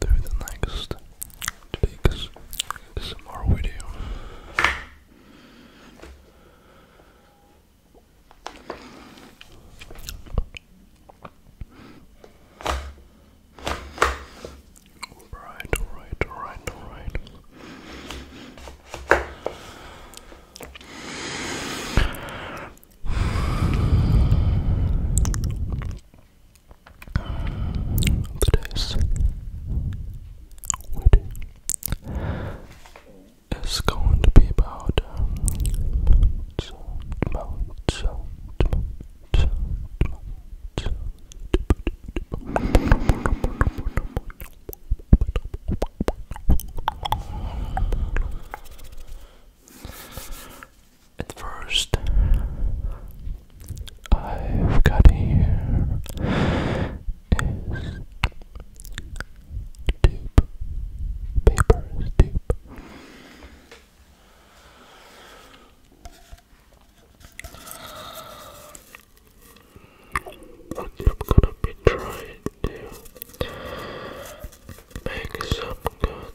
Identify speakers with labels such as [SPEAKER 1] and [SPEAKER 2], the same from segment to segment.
[SPEAKER 1] through the next week's more video. Alright, alright, alright, alright that is witty is going to be about at first, I've got here is tube, paper is I'm gonna be trying to make some good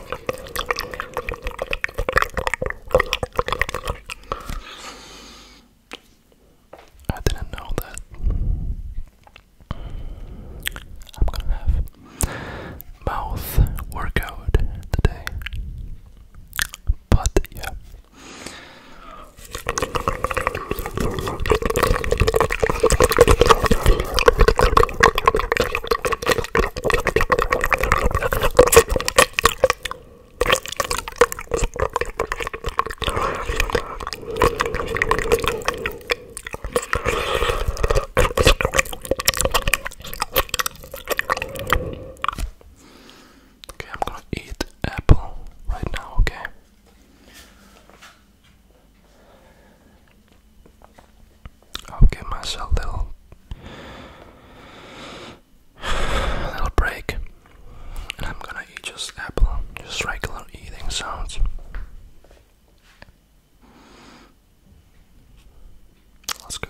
[SPEAKER 1] I didn't know that I'm gonna have mouth workout today. But yeah. Okay, I'm gonna eat apple right now, okay? I'll give myself a little, a little break, and I'm gonna eat just apple, just regular eating sounds. Let's go.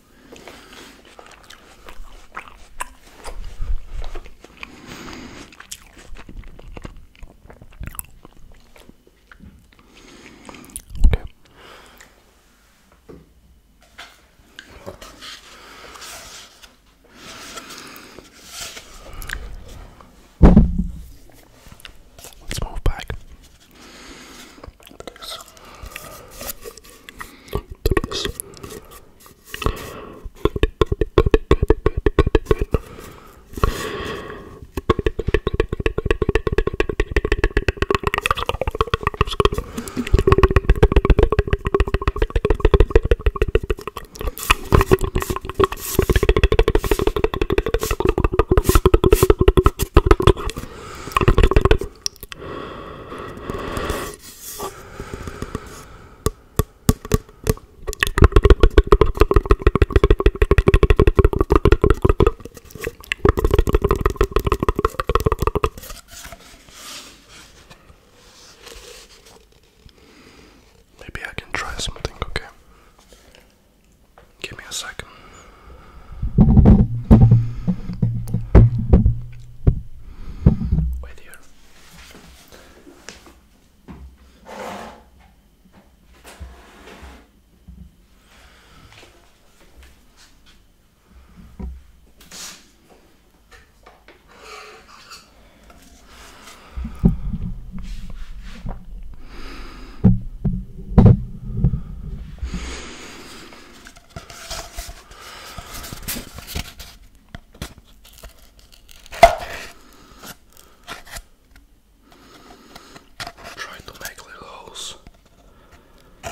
[SPEAKER 1] Okay. Let's move back this, this. Maybe I can try something, okay? Give me a second. Wait here. I'm trying to make little holes in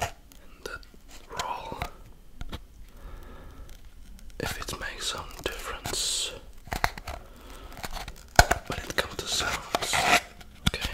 [SPEAKER 1] that roll. If it makes some difference when it comes to sounds, okay.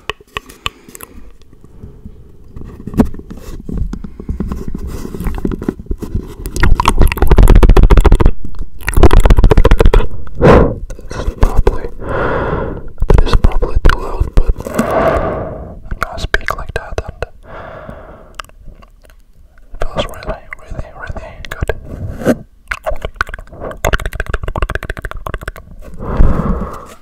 [SPEAKER 1] This is probably that is probably too loud, but
[SPEAKER 2] I speak like that and it feels really, really, really good.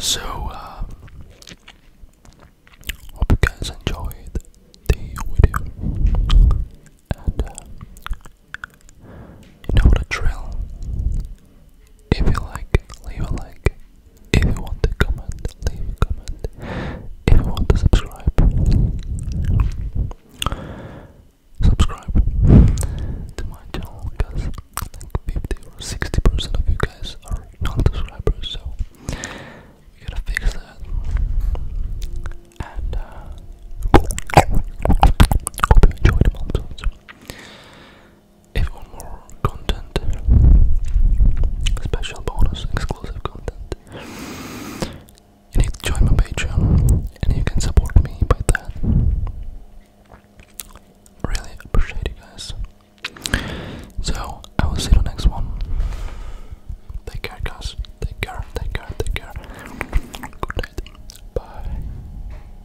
[SPEAKER 2] So, uh, hope you guys enjoyed the video, and uh, know the drill. If you like, leave a like. If you want to comment, leave a comment. If you want to subscribe, subscribe to my channel because like 50 or 60% of you guys are non subscribers, so we gotta fix that. And uh, hope you enjoyed the month even more content, special bonus, exclusive content. You need to join my Patreon and you can support me by that. Really appreciate you guys. So, I will see you next one. Take care, guys. Take care, take care, take care. Good night. Bye.